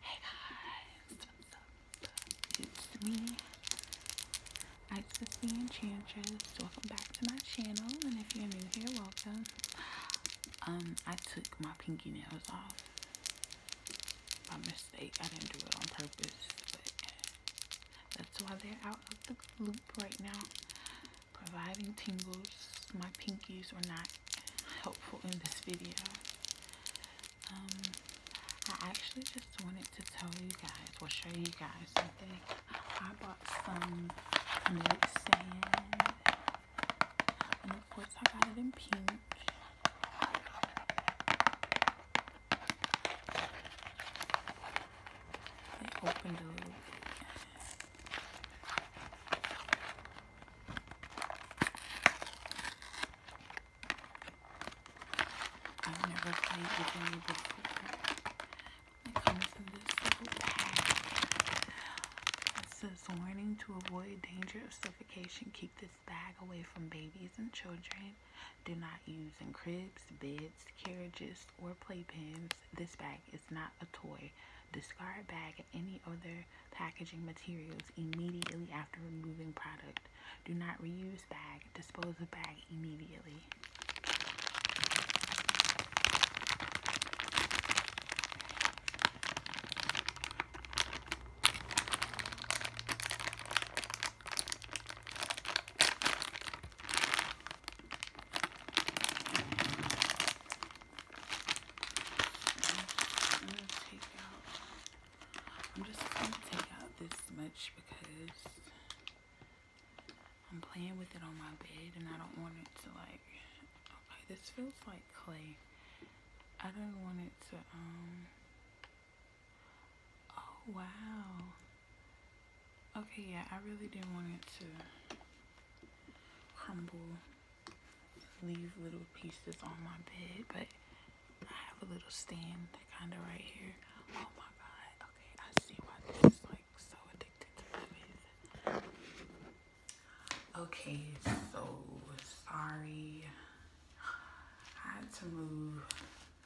Hey guys, what's up? It's me. I just the Enchantress. Welcome back to my channel, and if you're new here, welcome. Um, I took my pinky nails off by mistake. I didn't do it on purpose, but that's why they're out of the loop right now, providing tingles. My pinkies were not helpful in this video. Um, I actually just wanted to tell you guys We'll show you guys something. I bought some milk sand. And of course I got it in pink. They opened a it comes in this bag. It says, warning to avoid danger of suffocation. Keep this bag away from babies and children. Do not use in cribs, beds, carriages, or playpens. This bag is not a toy. Discard bag any other packaging materials immediately after removing product. Do not reuse bag. Dispose of bag immediately. I'm just gonna take out this much because I'm playing with it on my bed and I don't want it to like, okay, this feels like clay. I don't want it to, um, oh wow. Okay, yeah, I really didn't want it to crumble leave little pieces on my bed, but I have a little stand kind of right here. Oh my god. Okay, I see why this is like so addicted to movies. Okay, so sorry. I had to move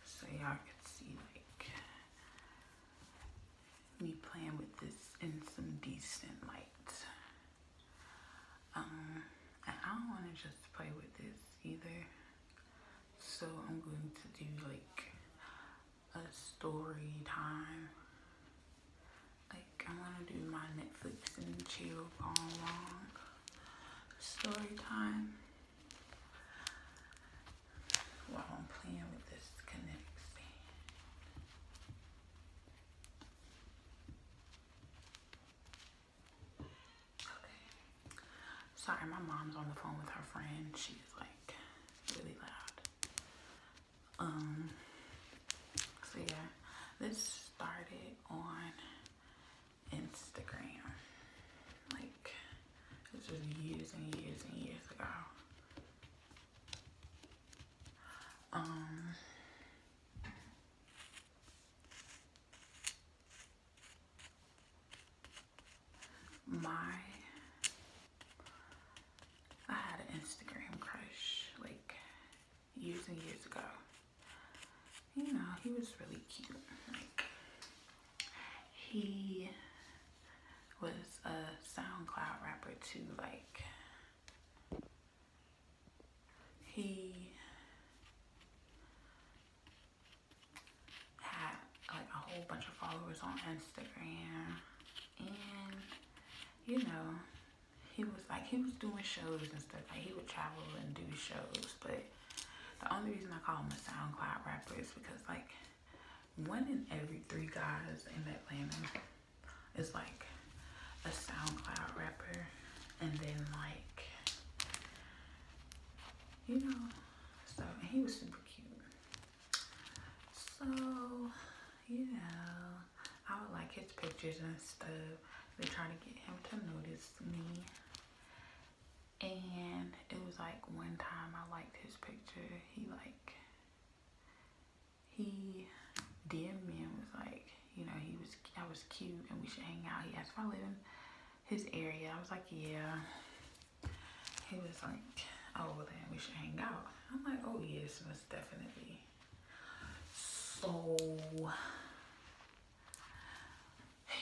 so y'all could see like me playing with this in some decent light. Um, I don't want to just play with this either. So I'm going to do like a story time. Like I'm gonna do my Netflix and chill gone long story time. While I'm playing with this kinetic span. Sorry, my mom's on the phone with her friend. She's like really loud. Um. So yeah, this started on Instagram. Like this was years and years and years ago. Um, my, I had an Instagram crush like years and years ago. You know, he was really cute. Like, he was a SoundCloud rapper too. Like, he had like a whole bunch of followers on Instagram and you know he was like he was doing shows and stuff like he would travel and do shows but the only reason I call him a SoundCloud rapper is because like one in every three guys in that Atlanta is like a SoundCloud rapper and then like you know so he was super cute. So you know I would like his pictures and stuff to try to get him to notice me and it was like one time I liked his picture he like he dm me and was like, you know, he was I was cute and we should hang out. He asked if I live in his area. I was like, yeah. He was like, oh, then we should hang out. I'm like, oh, yes, most definitely. So,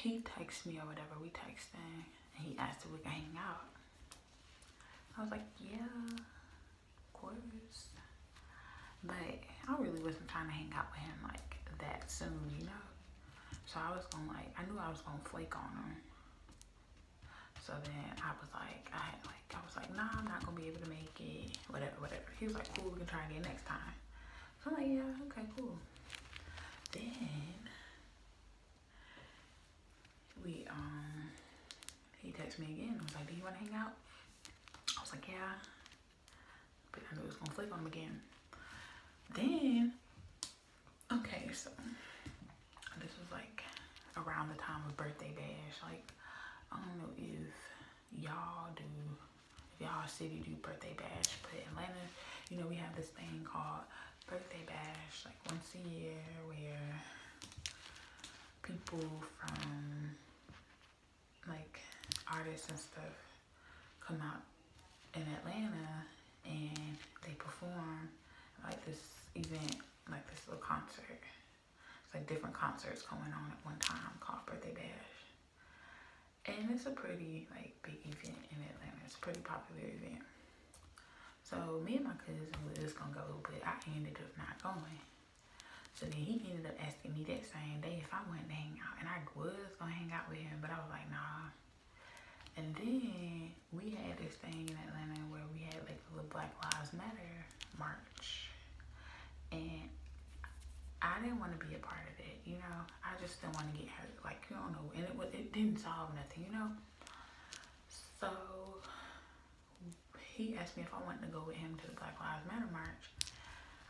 he texts me or whatever. We texted and he asked if we can hang out. I was like, yeah quarters. But I really wasn't trying to hang out with him like that soon, you know? So I was gonna like, I knew I was gonna flake on him. So then I was like, I had like, I was like, nah, I'm not gonna be able to make it, whatever, whatever. He was like, cool, we can try again next time. So I'm like, yeah, okay, cool. Then we, um, he texted me again. I was like, do you wanna hang out? I was like, yeah. But I knew it was gonna flake on him again. Then, okay, so this was like around the time of birthday bash. Like, I don't know if y'all do, y'all city do birthday bash, but Atlanta, you know, we have this thing called birthday bash, like once a year, where people from like artists and stuff come out in Atlanta and they perform like this event, like this little concert. It's like different concerts going on at one time called Birthday Bash. And it's a pretty like big event in Atlanta. It's a pretty popular event. So me and my cousin was just gonna go, but I ended up not going. So then he ended up asking me that same day if I went to hang out. And I was going to hang out with him, but I was like, nah. And then we had this thing in Atlanta where we had like the Black Lives Matter march. And I didn't want to be a part of it, you know. I just didn't want to get hurt. Like, you don't know. And it, was, it didn't solve nothing, you know. So he asked me if I wanted to go with him to the Black Lives Matter march.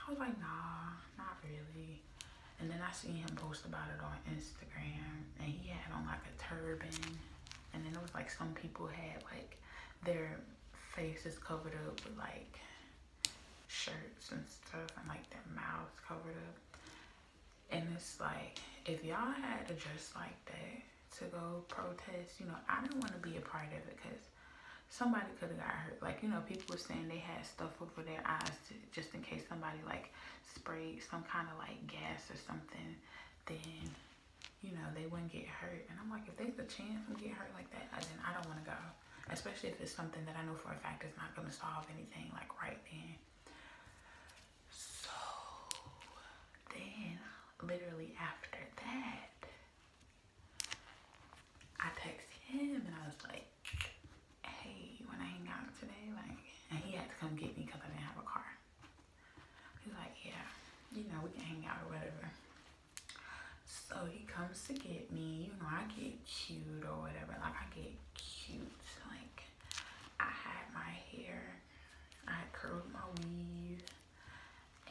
I was like, nah, not really. And then I seen him post about it on Instagram, and he had on like a turban, and then it was like some people had like their faces covered up with like shirts and stuff, and like their mouths covered up. And it's like, if y'all had to dress like that to go protest, you know, I didn't want to be a part of it because somebody could have got hurt. Like, you know, people were saying they had stuff over their eyes just in case somebody like sprayed some kind of like gas or something, then, you know, they wouldn't get hurt. And I'm like, if there's a chance we get hurt like that, then I don't want to go. Especially if it's something that I know for a fact is not going to solve anything like right then. So then literally after that, I texted him and I was like, hey, when I hang out today, like, and he had to come get me because I didn't have a car. He's like, yeah, you know, we can hang out or whatever. So he comes to get me, you know, I get cute or whatever, like I get cute, like I had my hair, I curled my weave,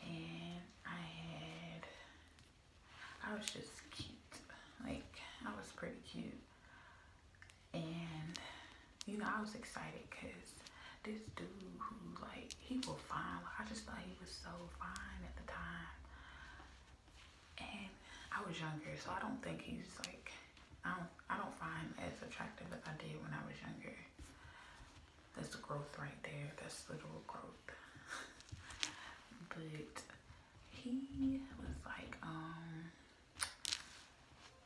and I had I was just cute. Like, I was pretty cute. And, you know, I was excited because this dude who, like, he was fine. I just thought he was so fine at the time. And I was younger, so I don't think he's, like, I don't, I don't find him as attractive as I did when I was younger. That's growth right there. That's little growth. but he was like, um,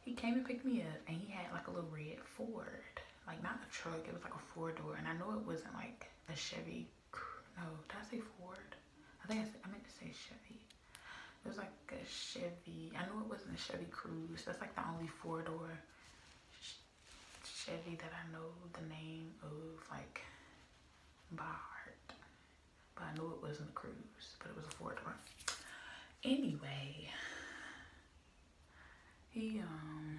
he came and picked me up and he had like a little red Ford. Like not a truck, it was like a four door. And I know it wasn't like a Chevy, no, did I say Ford? I think I, said, I meant to say Chevy. It was like a Chevy, I know it wasn't a Chevy Cruise. That's like the only four door Chevy that I know the name of like by heart. But I knew it wasn't a cruise, but it was a Ford one. Anyway, he um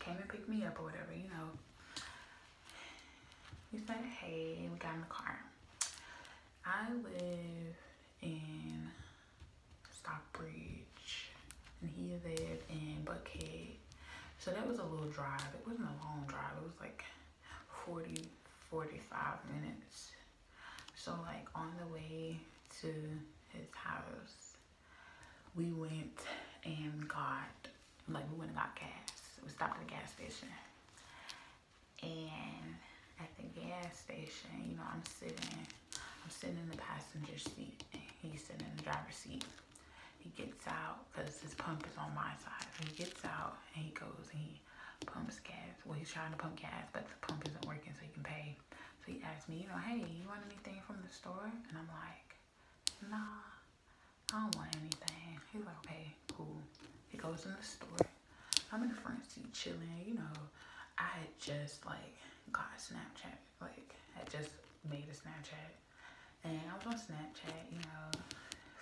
came and picked me up or whatever, you know. He said, hey, we got in the car. I live in Stockbridge and he lived in Buckhead so that was a little drive. It wasn't a long drive. It was like 40, 45 minutes. So like on the way to his house, we went and got, like we went and got gas. We stopped at a gas station. And at the gas station, you know, I'm sitting, I'm sitting in the passenger seat and he's sitting in the driver's seat. He gets out because his pump is on my side. he gets out and he goes and he pumps gas. Well, he's trying to pump gas, but the pump isn't working, so he can pay. So he asks me, you know, hey, you want anything from the store? And I'm like, nah, I don't want anything. He's like, okay, cool. He goes in the store. I'm in the front seat chilling, you know. I had just like got Snapchat like, I just made a Snapchat. And I was on Snapchat, you know,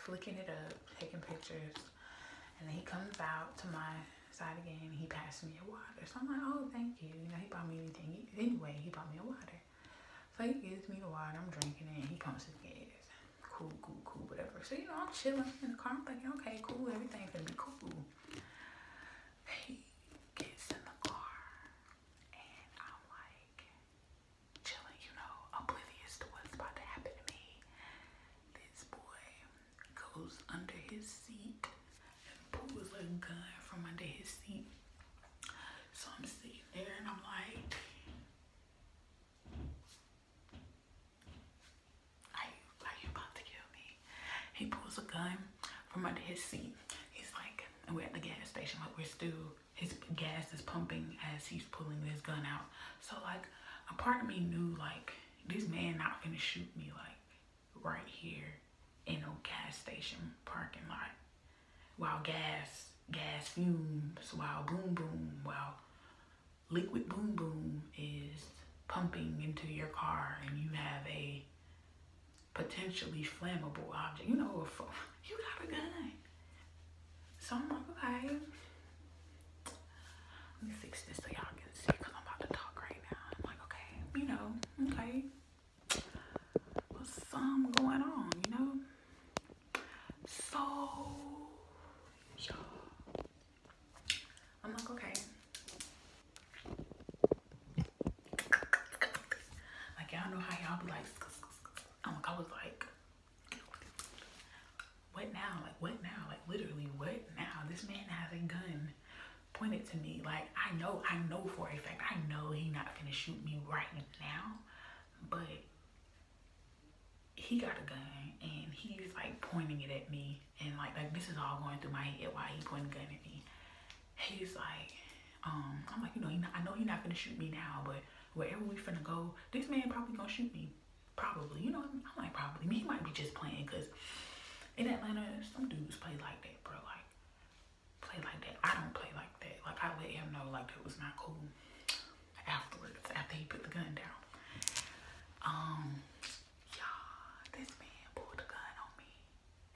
flicking it up, taking pictures. And then he comes out to my side again. He passed me a water. So I'm like, oh, thank you. You know, he bought me anything. Anyway, he bought me a water. So he gives me the water. I'm drinking it. And he pumps his gas. Cool, cool, cool, whatever. So, you know, I'm chilling in the car. I'm thinking, okay, cool. Everything's going to be cool. He gets in the car and I'm like chilling, you know, oblivious to what's about to happen to me. This boy goes under his seat and pulls a gun from under his seat. So I'm sitting there and I'm like, are you, about to kill me? He pulls a gun from under his seat. He's like, and we're at the gas station, but we're still, his gas is pumping as he's pulling his gun out. So like, a part of me knew like, this man not gonna shoot me like right here in a gas station parking lot. While gas, gas fumes, while boom boom, while liquid boom boom is pumping into your car and you have a potentially flammable object. You know, if, you got a gun. So I'm like, okay. Let me fix this so y'all can see I'm about to talk right now. I'm like, okay, you know, okay. What's some going on, you know? So, y'all. I'm like, okay. Like y'all know how y'all be like, i was like, what now? Like what now? Like literally what now? This man has a gun pointed to me. Like I know, I know for a fact, I know he not gonna shoot me right now, but he got a gun and he's like pointing it at me and like like this is all going through my head while he pointing gun at me he's like, um, I'm like, you know, he not, I know he's not gonna shoot me now, but wherever we finna go, this man probably gonna shoot me. Probably, you know, I'm like probably. He might be just playing because in Atlanta, some dudes play like that, bro. Like, play like that. I don't play like that. Like, I let him know like it was not cool afterwards, after he put the gun down. Um, you this man pulled a gun on me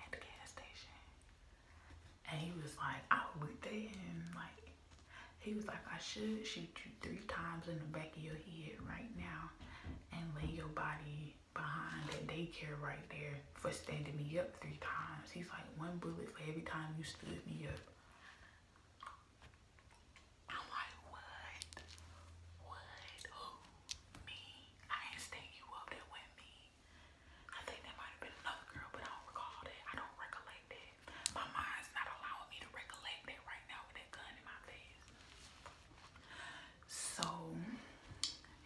at the gas station. And he was like, I went there and like, he was like, I should shoot you three times in the back of your head right now and lay your body behind that daycare right there for standing me up three times. He's like, one bullet for every time you stood me up. I'm like, what? What? Who? Me? I ain't stand you up. That went me. I think that might have been another girl, but I don't recall that. I don't recollect that. My mind's not allowing me to recollect that right now with that gun in my face. So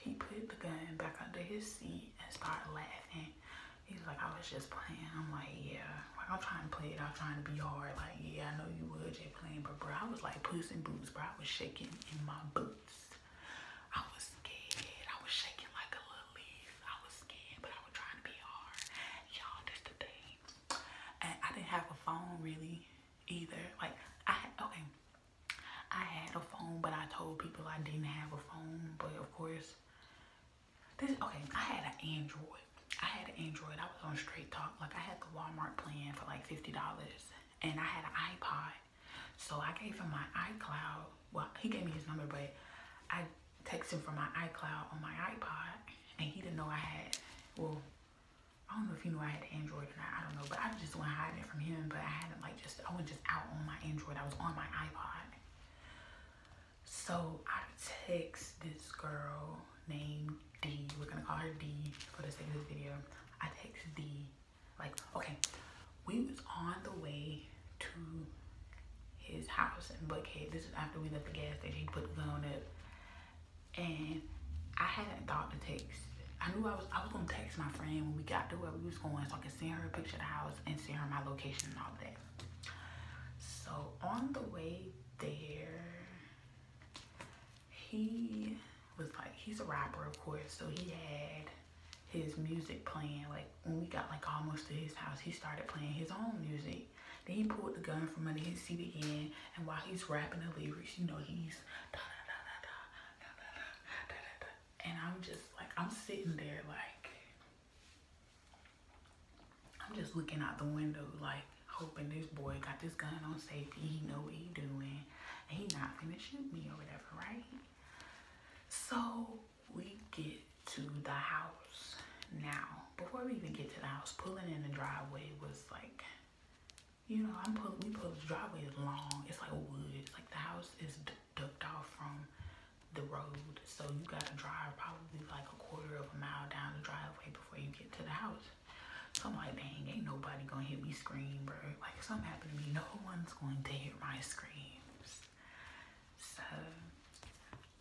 he put the gun back under his seat and started laughing. He's like, I was just playing. I'm like, yeah. I'm trying to play it. I'm trying to be hard. Like, yeah, I know you would just playing. But, bro, I was like puss and boots, bro. I was shaking in my boots. I was scared. I was shaking like a little leaf. I was scared, but I was trying to be hard. Y'all, that's the thing. I didn't have a phone really either. Like I okay. I had a phone, but I told people I didn't have a phone. But of course, this okay. I had an Android. I had an Android. I was on Straight Talk. Like I had the Walmart plan for like fifty dollars, and I had an iPod. So I gave him my iCloud. Well, he gave me his number, but I texted him from my iCloud on my iPod, and he didn't know I had. Well, I don't know if he knew I had Android or not. I don't know, but I just went hiding from him. But I had it like just I was just out on my Android. I was on my iPod. So I text this girl named D. We're gonna call her D for the sake of this video. I text D like, okay, we was on the way to his house and in Buckhead. This is after we left the gas station. He put the gun up. And I hadn't got the text. I knew I was I was gonna text my friend when we got to where we was going so I could send her a picture of the house and send her my location and all that. So on the way there, he was like he's a rapper of course so he had his music playing like when we got like almost to his house he started playing his own music then he pulled the gun from under his seat again and while he's rapping the lyrics you know he's da da da da da da da da da da and i'm just like i'm sitting there like i'm just looking out the window like hoping this boy got this gun on safety he know what he doing he not gonna shoot me or whatever right so we get to the house. Now, before we even get to the house, pulling in the driveway was like, you know, I'm pulling, we pull the driveway is long. It's like wood. It's like the house is ducked off from the road. So you gotta drive probably like a quarter of a mile down the driveway before you get to the house. So I'm like, dang, ain't nobody gonna hear me scream, bro. Like something happened to me, no one going to hear my screams. So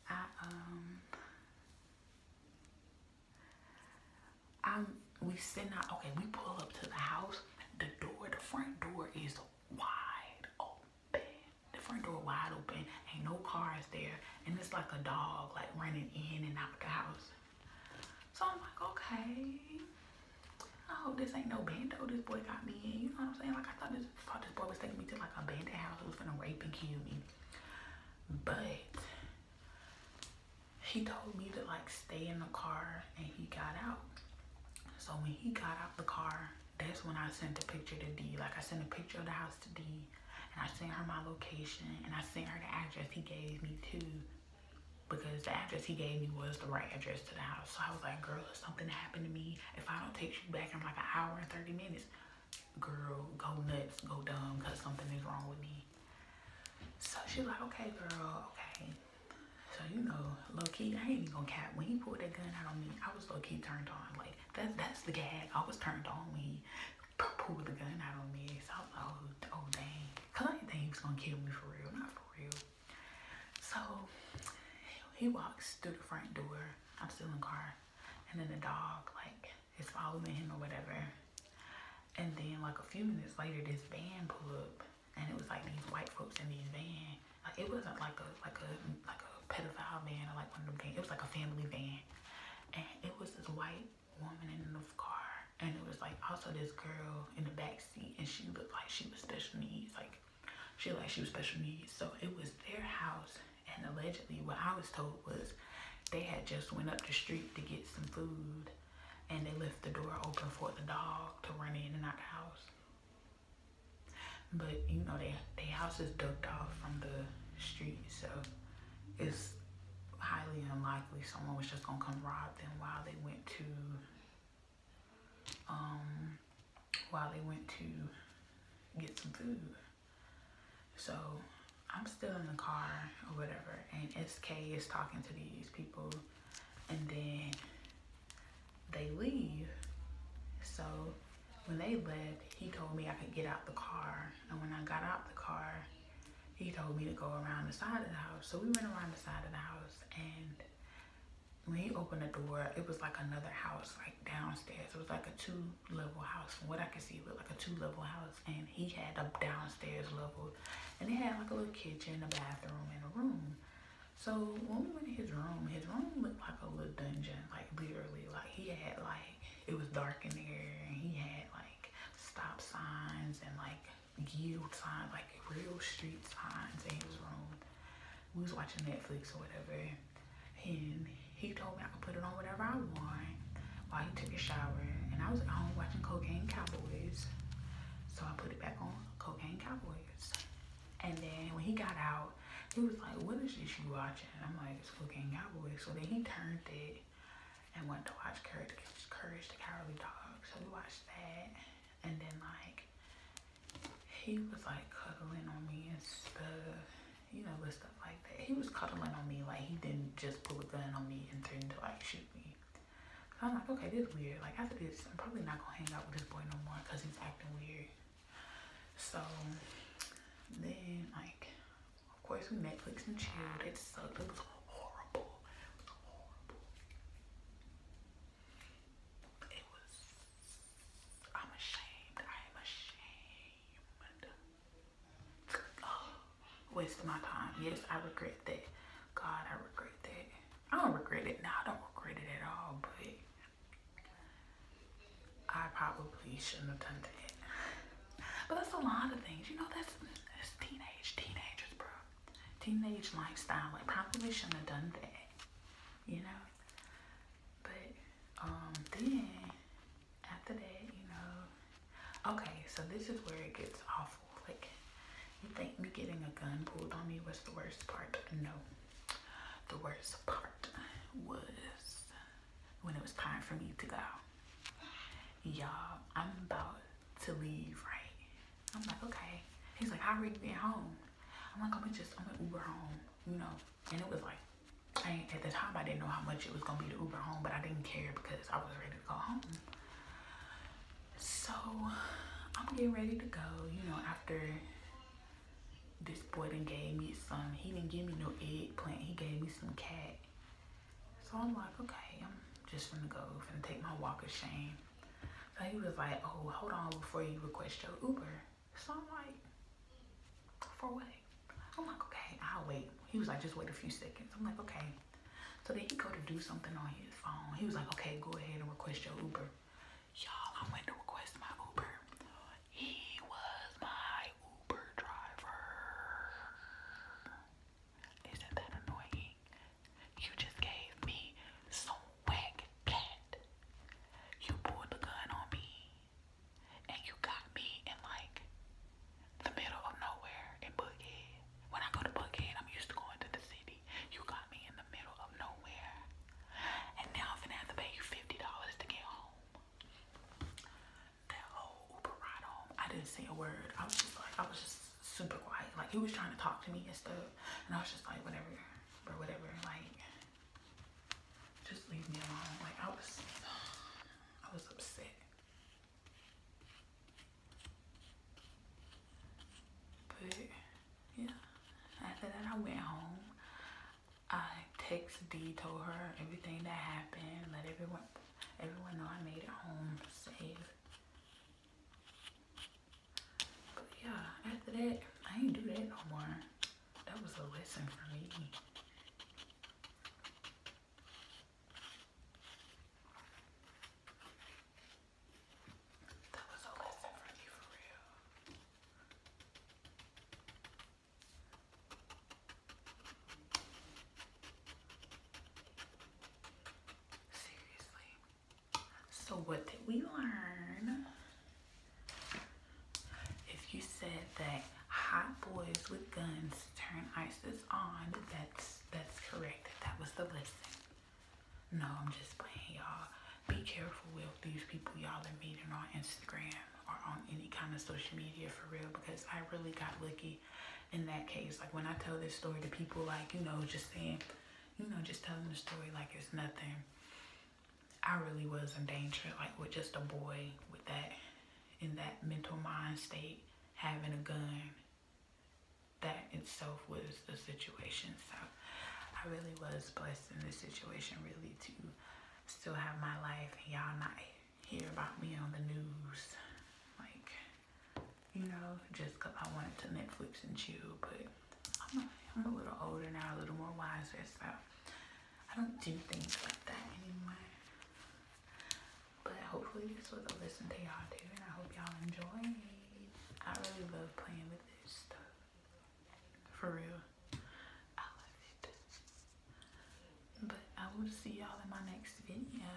I um we sitting out okay, we pull up to the house. The door, the front door is wide open. The front door wide open, ain't no cars there, and it's like a dog like running in and out of the house. So I'm like, okay oh, this ain't no bando this boy got me You know what I'm saying? Like, I thought this, thought this boy was taking me to like a bandit house who was gonna rape and kill me. But he told me to like stay in the car and he got out. So when he got out the car, that's when I sent a picture to D. Like I sent a picture of the house to D and I sent her my location and I sent her the address he gave me too because the address he gave me was the right address to the house. So I was like, girl, if something happened to me, if I don't text you back in like an hour and 30 minutes, girl, go nuts, go dumb, because something is wrong with me. So she's like, okay, girl, okay. So, you know, low-key, I ain't even gonna cap. When he pulled that gun out on me, I was low-key turned on. Like, that, that's the gag. I was turned on when he pulled the gun out on me. So I was like, oh, oh dang. I think he was gonna kill me for real. Not for real. So he walks through the front door. I'm still in the car. And then the dog, like, is following him or whatever. And then, like, a few minutes later, this van pulled up. And it was, like, these white folks in these van. Like, it wasn't, like, a like a, like a pedophile van or, like, one of them things. It was, like, a family van. And it was this white woman in the car. And it was, like, also this girl in the backseat and she looked like she was special needs. Like she like she was special needs. So it was their house and allegedly what I was told was they had just went up the street to get some food and they left the door open for the dog to run in and out the house. But you know they their house is ducked off from the street so it's highly unlikely someone was just gonna come rob them while they went to um, while they went to get some food. So I'm still in the car or whatever, and SK is talking to these people, and then they leave. So when they left, he told me I could get out the car. And when I got out the car, he told me to go around the side of the house. So we went around the side of the house and when he opened the door, it was like another house, like downstairs. It was like a two-level house. From what I could see, it like a two-level house. And he had a downstairs level. And he had like a little kitchen, a bathroom, and a room. So when we went to his room, his room looked like a little dungeon. Like literally, like he had like, it was dark in there. And he had like stop signs and like yield signs, like real street signs and his room. We was watching Netflix or whatever, and he told me I could put it on whatever I want while he took a shower. And I was at home watching Cocaine Cowboys, so I put it back on Cocaine Cowboys. And then when he got out, he was like, what is this you watching? I'm like, it's Cocaine Cowboys. So then he turned it and went to watch Courage, Courage the Cowardly Dog. So we watched that. And then like he was like cuddling on me and stuff, you know, with stuff like that. He was cuddling on me like he didn't just pull a gun on me and turn to like shoot me. I'm like, okay, this is weird. Like after this, I'm probably not gonna hang out with this boy no more because he's acting weird. So then like of course we Netflix and chilled. It sucked. It was horrible. horrible. It was, I'm ashamed. I am ashamed. Oh, waste my time. Yes, I regret that. God, I regret that. I don't regret it now. I don't regret it at all, but I probably shouldn't have done that. But that's a lot of things. You know, that's teenage, teenagers, bro teenage lifestyle. I probably shouldn't have done that, you know. But um, then after that, you know, okay. So this is where it gets awful. Like, you think me getting a gun pulled on me was the worst part? No, the worst part was when it was time for me to go. Y'all, I'm about to leave, right? I'm like, okay. He's like, I already been home. I'm like, I'm gonna just, I'm gonna Uber home, you know. And it was like, I at the time I didn't know how much it was gonna be to Uber home, but I didn't care because I was ready to go home. So I'm getting ready to go, you know, after this boy then gave me some, he didn't give me no eggplant, he gave me some cat. So I'm like, okay, I'm just gonna go, and take my walk of shame. So he was like, oh, hold on before you request your Uber. So I'm like, for what? I'm like, okay, I'll wait. He was like, just wait a few seconds. I'm like, okay. So then he go to do something on his phone. He was like, okay, go ahead and request your Uber. Y'all, I went to request my Uber. He was my Uber driver. Isn't that annoying? You just gave me some whack cat. You pulled the gun on me and you got me in like the middle of nowhere in Buckhead. When I go to Buckhead, I'm used to going to the city. You got me in the middle of nowhere. And now I'm finna have to pay you $50 to get home. That whole Uber ride home, I didn't say a word. I was just like, I was just super quiet. Like he was trying to talk to me and stuff. And I was just like, whatever, or whatever. Like, just leave me alone. Like I was, I was upset. But yeah, after that I went home. I texted, D, told her everything that happened, let everyone everyone know I made it home safe but yeah, after that, I ain't do that no more. That was a lesson for me. That was a lesson for me for real. Seriously. So what did we learn? If you said that hot boys with guns turn ISIS on, that's that's correct. That was the lesson. No, I'm just playing y'all. Be careful with these people y'all are meeting on Instagram or on any kind of social media for real because I really got lucky in that case. Like when I tell this story to people like, you know, just saying you know, just telling the story like it's nothing. I really was in danger, like with just a boy with that, in that mental mind state, having a gun. That itself was the situation. So I really was blessed in this situation, really, to still have my life and y'all not hear about me on the news. Like, you know, just because I wanted to Netflix and chill. But I'm a little older now, a little more wiser, so I don't do things like that anymore. But hopefully this was a listen to y'all too, and I hope y'all enjoy I really love playing with this stuff. For real. I love it. But I will see y'all in my next video.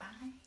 Bye.